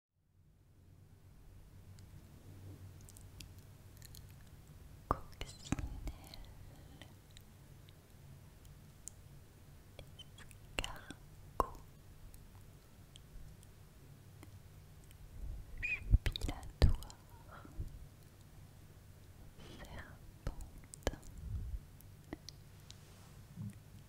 Coccinelle Escargot Jubilatoire Serpente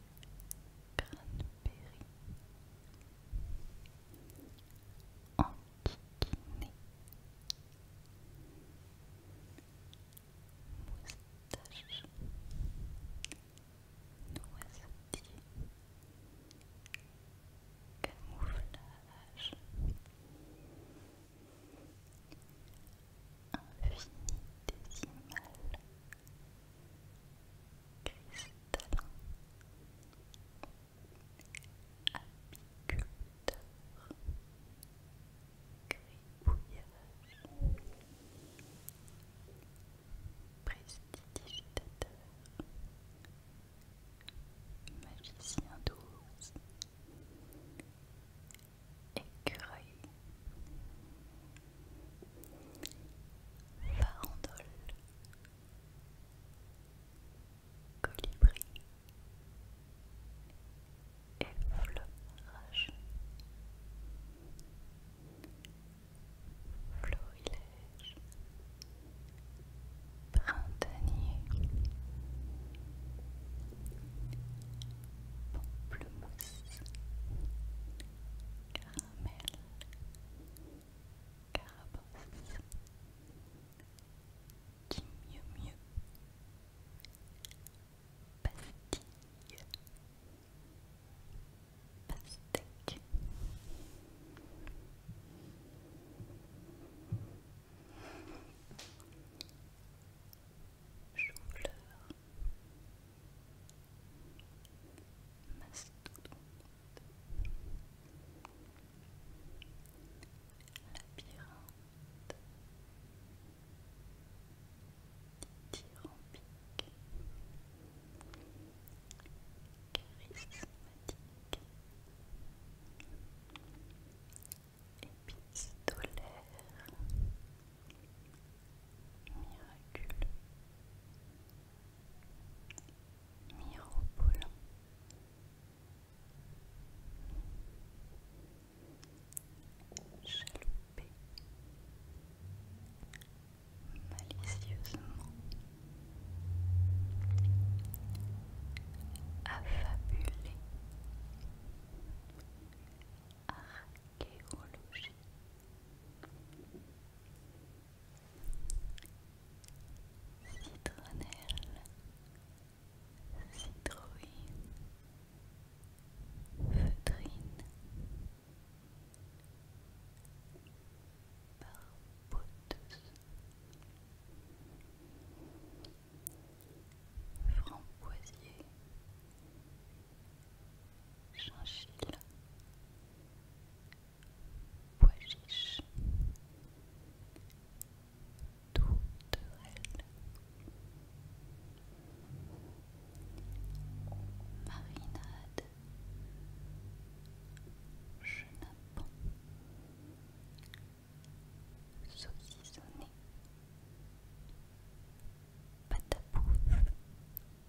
Cranberry Antiquiné Moustache Noisetier Camouflage Infinitésimal cristallin apiculteur gribouillage prestidigitateur magicien douce écureuil, farandole, colibri, effleurage, florilège, printanier, pamplemousse Caramel Carabosse Qui mieux mieux Pastille Pastèque jongleur, mastodonte, labyrinthe, dithyrambique, charismatique, épistolaire miraculeux, Mirabolant chaloupé, malicieusement, affabulé, arc géologie citronnelle citrouille feutrine barboteuse framboisier chinchille, pois chiche, touterelle, marinade, chenapon, à bouffe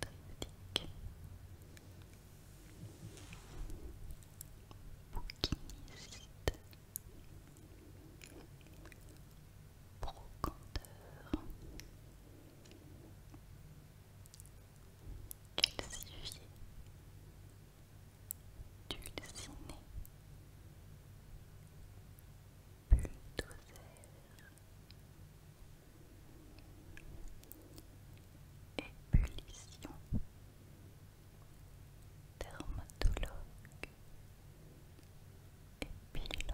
Triptyque Bouquiniste Brocanteur Calcifié Dulciné Ébullition. Dermatologue. Épilogue.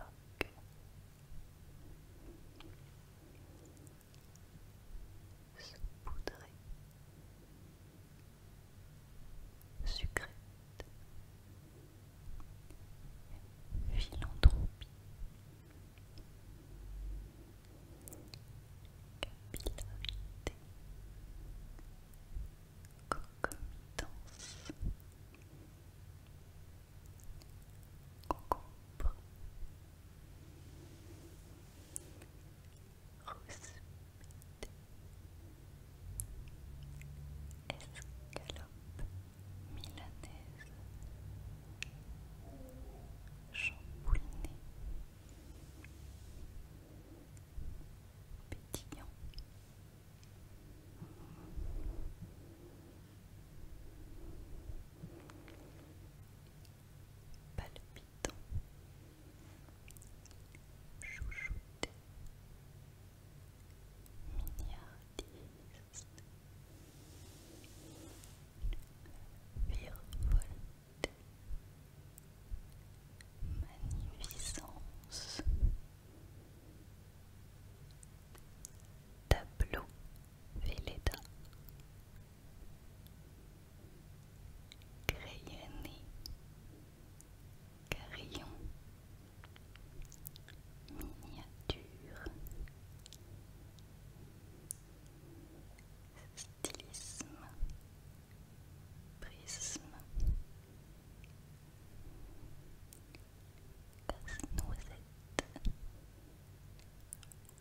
Saupoudrée. Sucrète. Philanthropie capillarité concomitance concombre rousse escalope milanaise chambouliné, pétillant. Palpitant, chouchouté, miniardiste, Virevolte Magnificence Tableau VELEDA Crayonné Carillon Miniature stylisme, prisme, casse-noisette,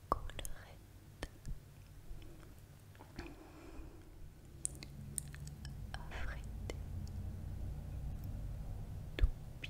collerette, affrété, toupie.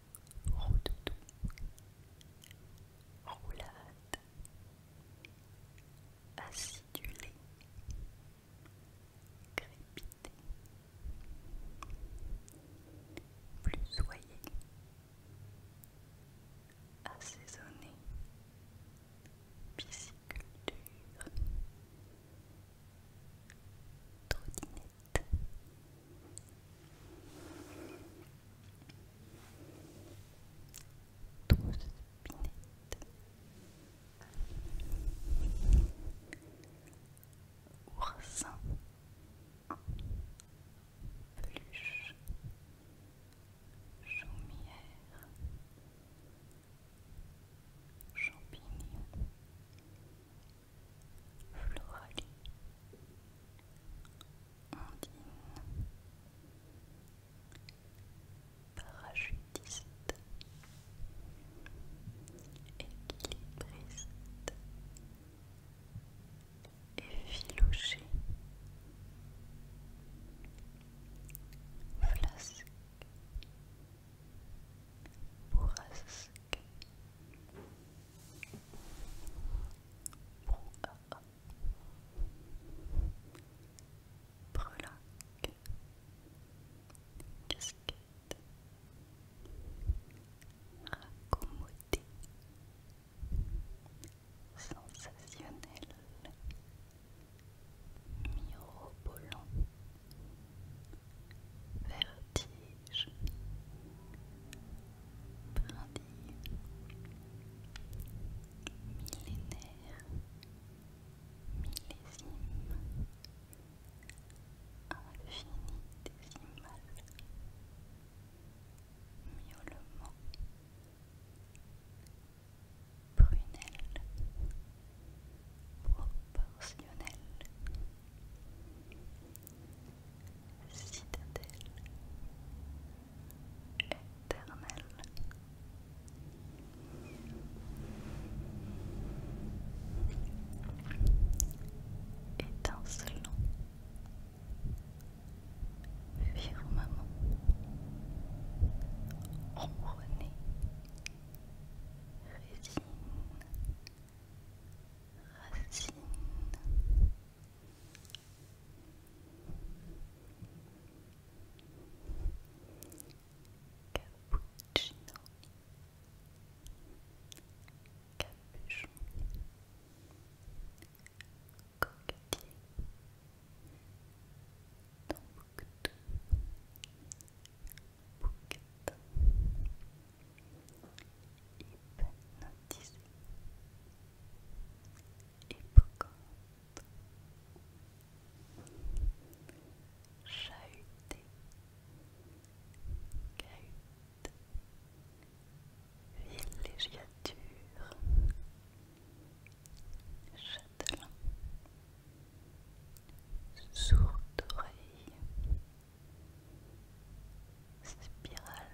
Rodoudou, roulade, acidulé, crépité, plus soyé, assaisonné, pisciculture, trottinette. Douce binette. Oursin. Peluche. Chaumière. Champignon. Floralie. Ondine Parachutiste Équilibriste Effiloché Flasque Bourrasque Brouhaha Breloque, casquette, raccommodé, sensationnel, mirobolant, vertige, brindille millénaire millésime infinitésimal miaulement prunelle proportionnelle citadelle éternel. Étincelant firmement ronronné résine racine Cappuccino Capuchon Coquetier Tombouctou Bouquetin Hypnotisé hippocampe, chahuté, cahute, villégiature, châtelain, sourde oreille spirale.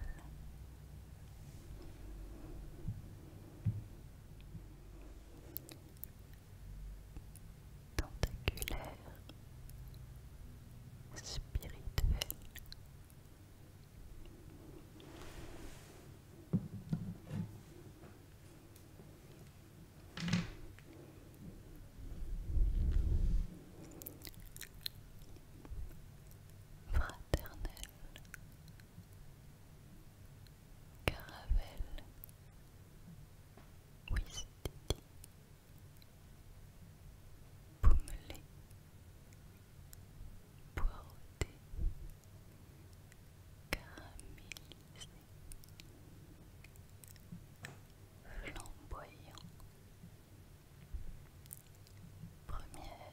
Tentaculaire, spirituel. Fraternelle Caravelle Whisky Pommelée Poireauté Caramélisé Flamboyant Première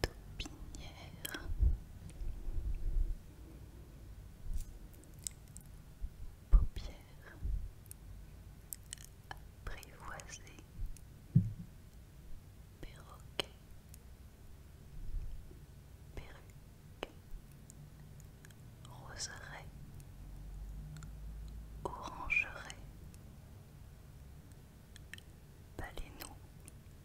Taupinière Paupière Apprivoisé Perroquet Perruque Orangeret Orangeraie baléno.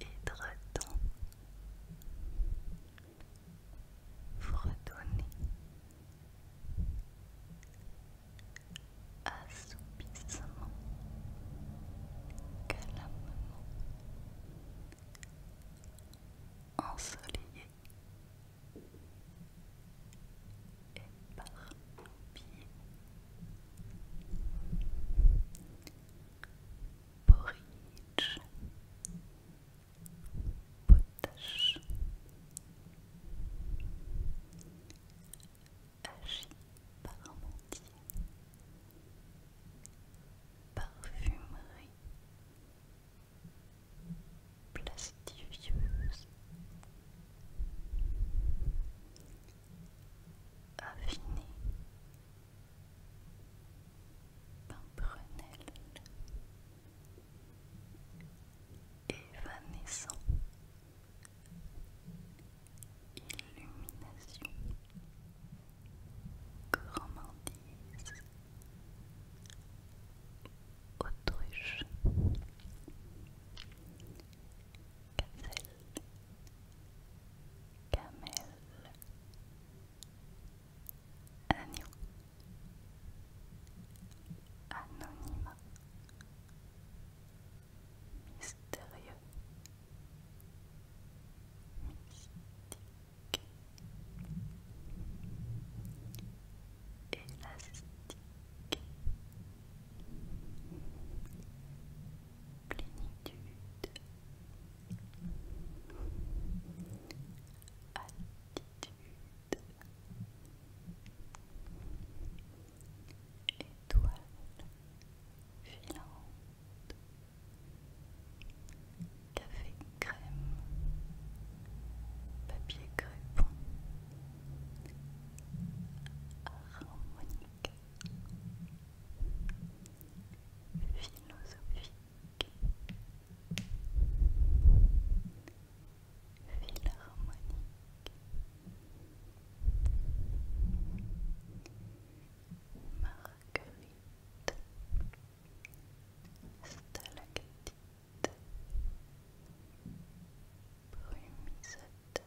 et vous Fredonner Assoupissement Calamement Ensoleillé et Éparpillé porridge, potage, hachis parmentier, parfumerie, plastifieuse, affinée Pimprenelle évanescent illumination gourmandise autruche gazelle Camel Agneau Anonymat Mystérieux Mystique Élastique plénitude, altitude, étoile filante, café crème, papier crêpon harmonique philosophique, philharmonique, marguerite, stalactite, brumisateur,